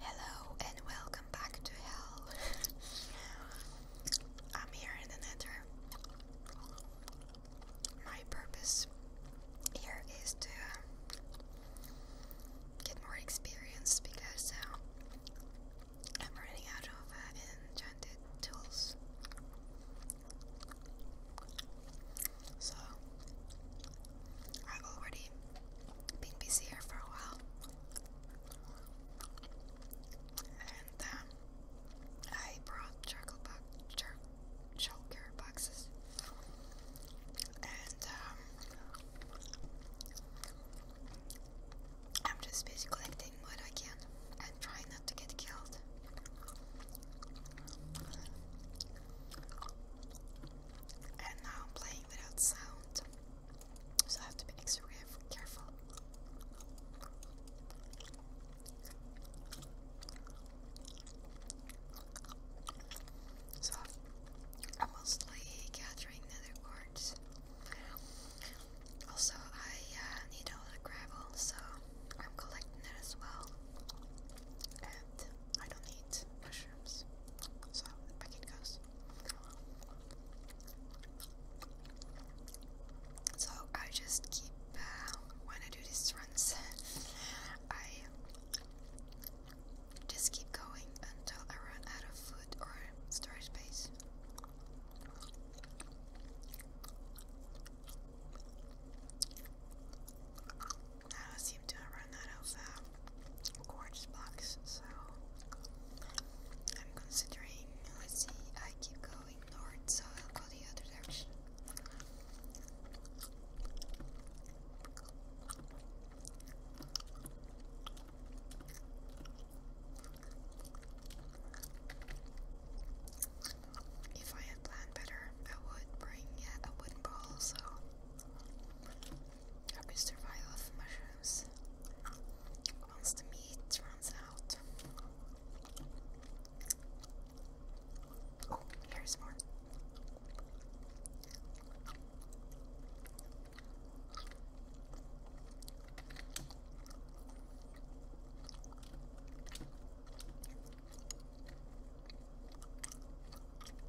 Hello and welcome back to hell. I'm here in the nether. My purpose here is to um, get more experience because uh, I'm running out of uh, enchanted tools. So I already been busy here for a while, and um, I brought charcoal boxes, and um, I'm just busy collecting what I can and trying not to get killed. And now I'm playing without sound, so I have to be extra careful. So I'm mostly gathering nether quartz. Also, I uh, need a lot of gravel, so I'm collecting it as well. And I don't need so back it goes. So I just keep uh, when I do these runs, I just keep going until I run out of food or storage space. I seem to run out of quartz blocks, so I'm considering. Let's see, I keep going north, so I'll go the other direction. If I had planned better, I would bring a wooden bowl, so I could survive off mushrooms once the meat runs out. Oh, here's more. I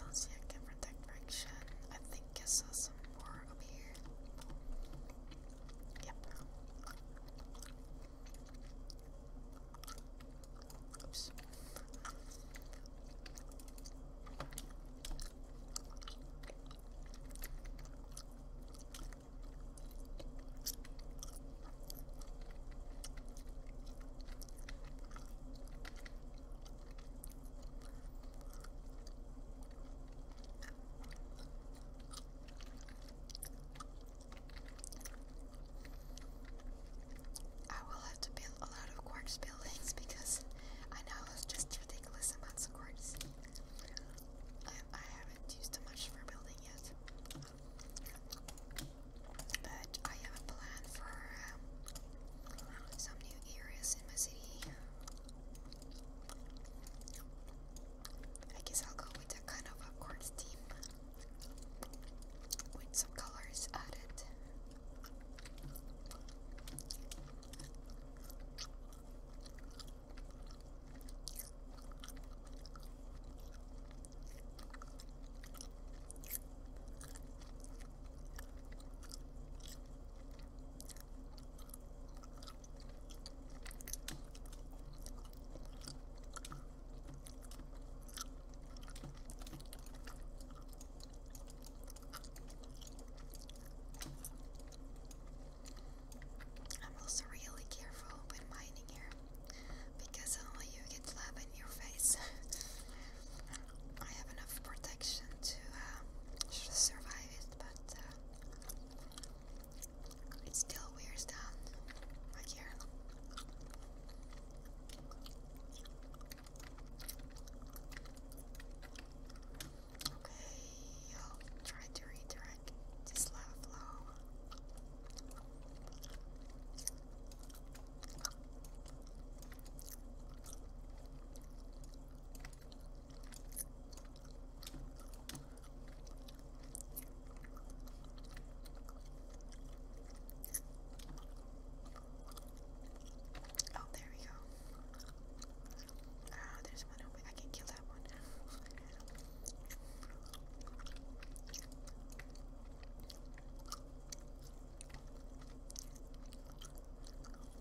don't see a different direction. I think I saw some more up here. Yep. Oops. I will have to build a lot of quartz buildings because I know it's just ridiculous amounts of quartz. I, haven't used much for building yet. But I have a plan for um, some new areas in my city. I guess I'll go with that kind of a corn steam with some colors added. I'm also really careful when mining here because only you get lava in your face. I have enough protection to uh, survive surprised, but it still wears down my hair. Okay, I'll try to redirect this lava flow. Oh, there we go. Ah, oh, there's one over. I can kill that one.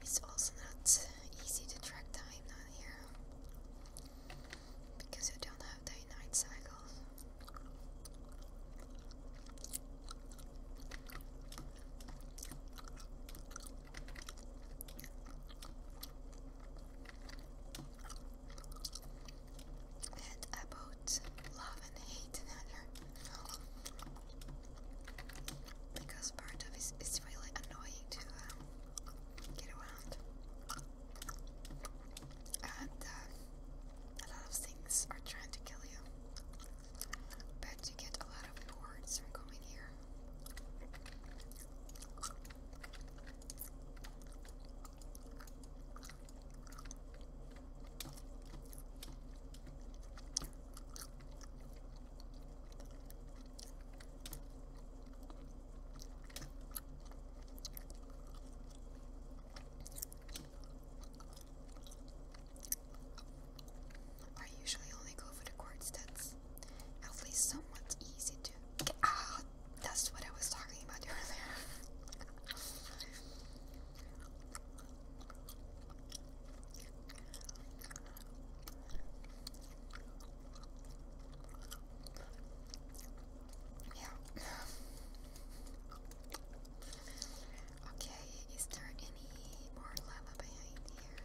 It's also not easy to track time down here because you don't have day night cycles and about love and hate in Because part of it is really annoying to um, get around. And uh, a lot of things are trying to kill you. But you get a lot of rewards from coming here. I usually only go for the quartz that's at least somewhat easy Ah, that's what I was talking about earlier. Yeah. Okay, is there any more lava behind here?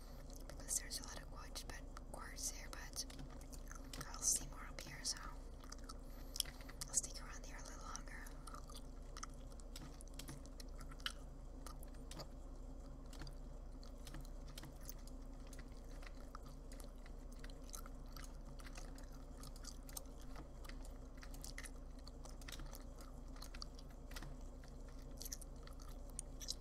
because there's a lot of quartz, but quartz there, but I'll see more up here, so I'll stick around here a little longer.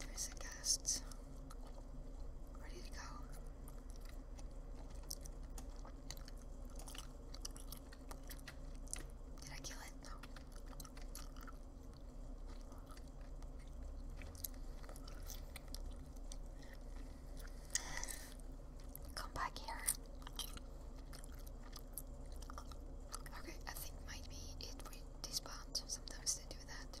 There's a guest ready to go. Did I kill it? Come back here. Okay, I think might be it with these bombs. Sometimes they do that.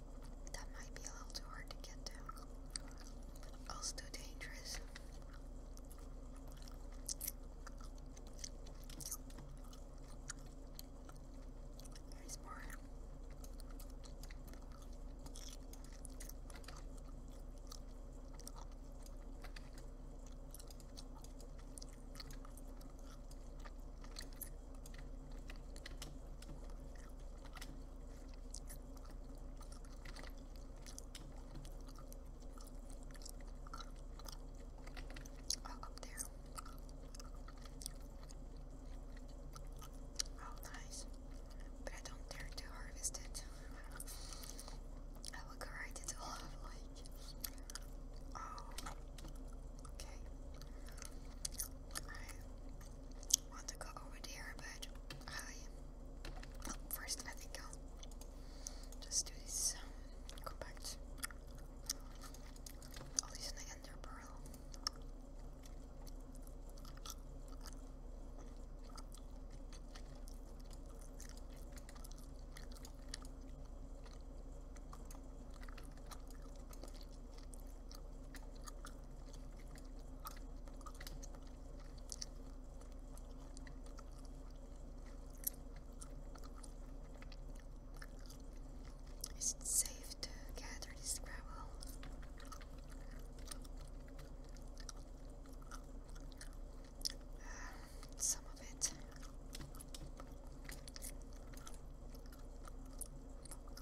That might be a little too hard to get to. Also dangerous. There's more. Oh, up there. Oh, nice. But I don't dare to harvest it. I will correct it all like. Oh. Okay want to go over there, but oh, first, I think i just do this um, compact. I'll an ender pearl. Is it safe to gather this gravel? Ah, some of it.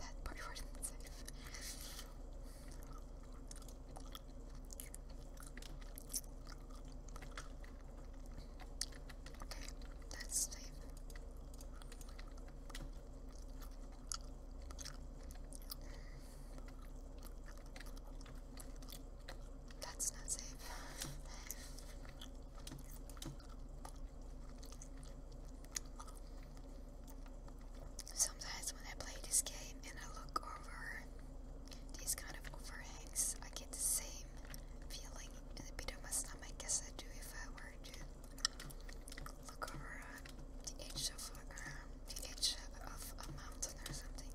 That part wasn't safe. Okay, that's safe. That's not safe. Sometimes when I play this game and I look over these kind of overhangs, I get the same feeling in the pit of my stomach as I do if I were to look over the edge of uh, a mountain or something.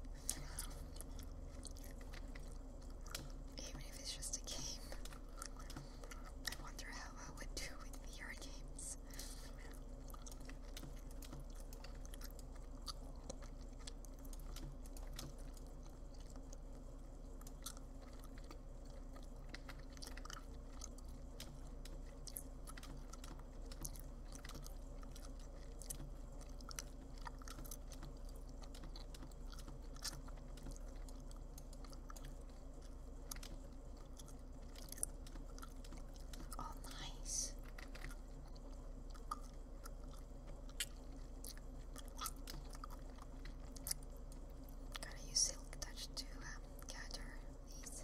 Even if it's just a game. I wonder how I would do with VR games. Oh, nice. Gotta use silk touch to um, gather these.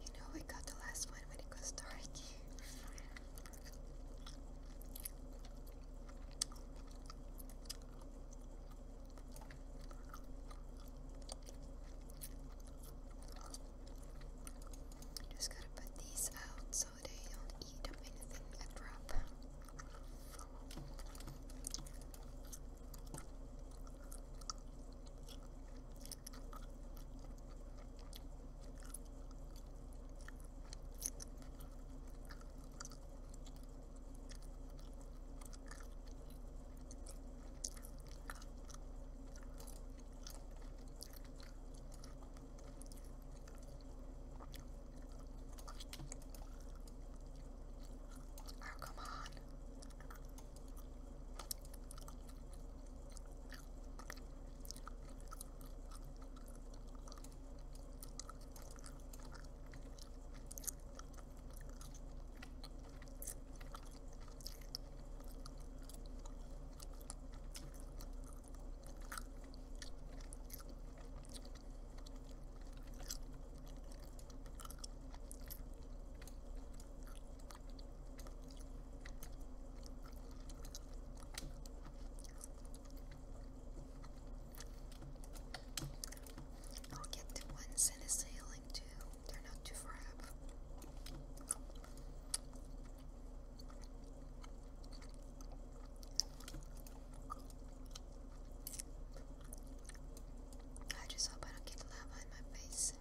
You know we got the last one when it goes dark. Just gotta put these out so they'll eat up anything that Oh, come on. I'll get the ones in a sailing too. They're not too far up. I just hope I don't get lava in my face.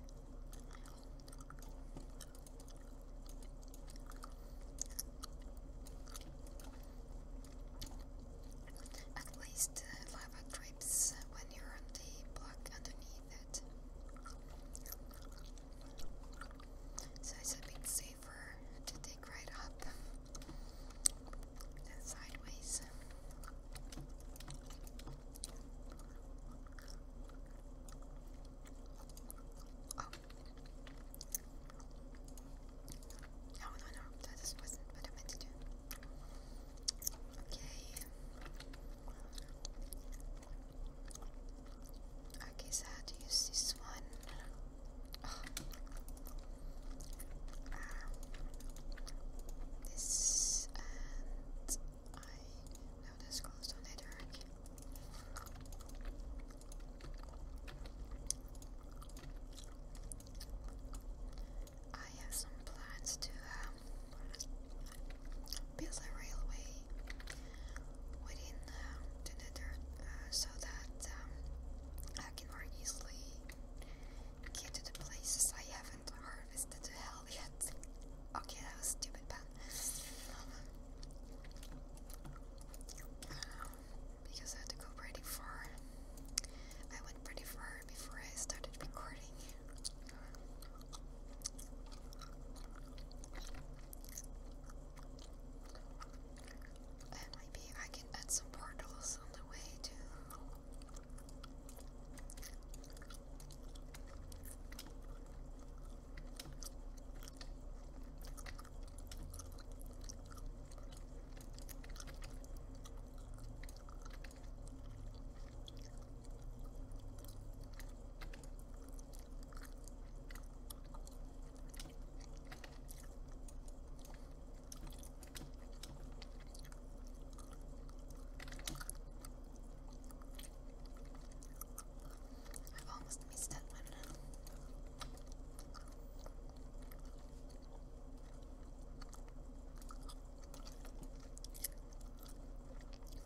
At least uh, lava drips when you're on the block underneath it. So I said it's safer to take right up than sideways. Oh. No, no, no, that just wasn't what I meant to do. Okay. Okay, so how to use this one? Ah. this and I no, that's closed on network. I have some plans to um, busy railway within uh, the nether uh, so that um, I can more easily get to the places I haven't harvested the hell yet. Okay, that was stupid pun. Um, because I had to go pretty far. I went pretty far before I started recording maybe I can add some portals on the way too. I've almost missed that one.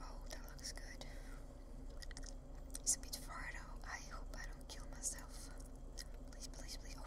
Oh, that looks good. It's a bit far though. I hope I don't kill myself. Please, please, please. Oh.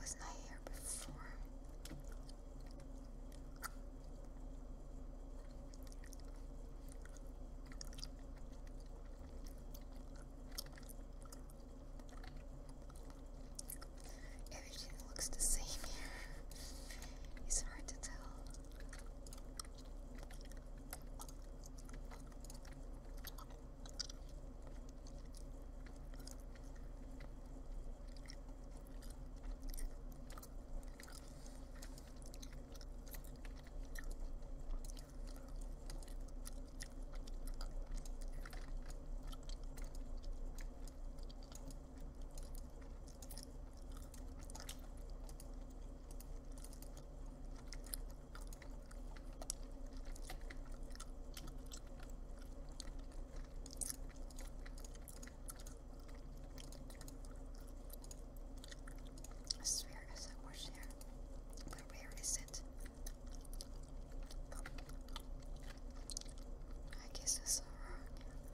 Wasn't I here before? everything looks the same here. It's hard to tell. This sphere is where is it? I guess I saw wrong.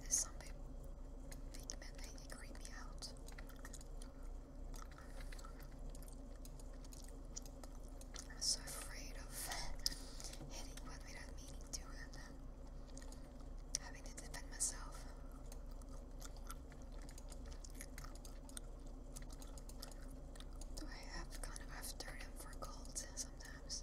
There's some big men they creep me out. I'm so afraid of hitting one without meaning to and having to defend myself. Though I have kind of have turned for colds sometimes.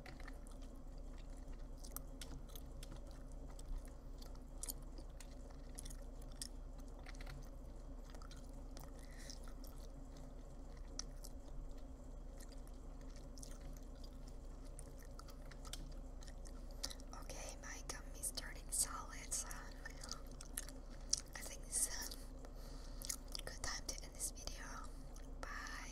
Okay, my gum is turning solid, so uh, I think it's good time to end this video. Bye.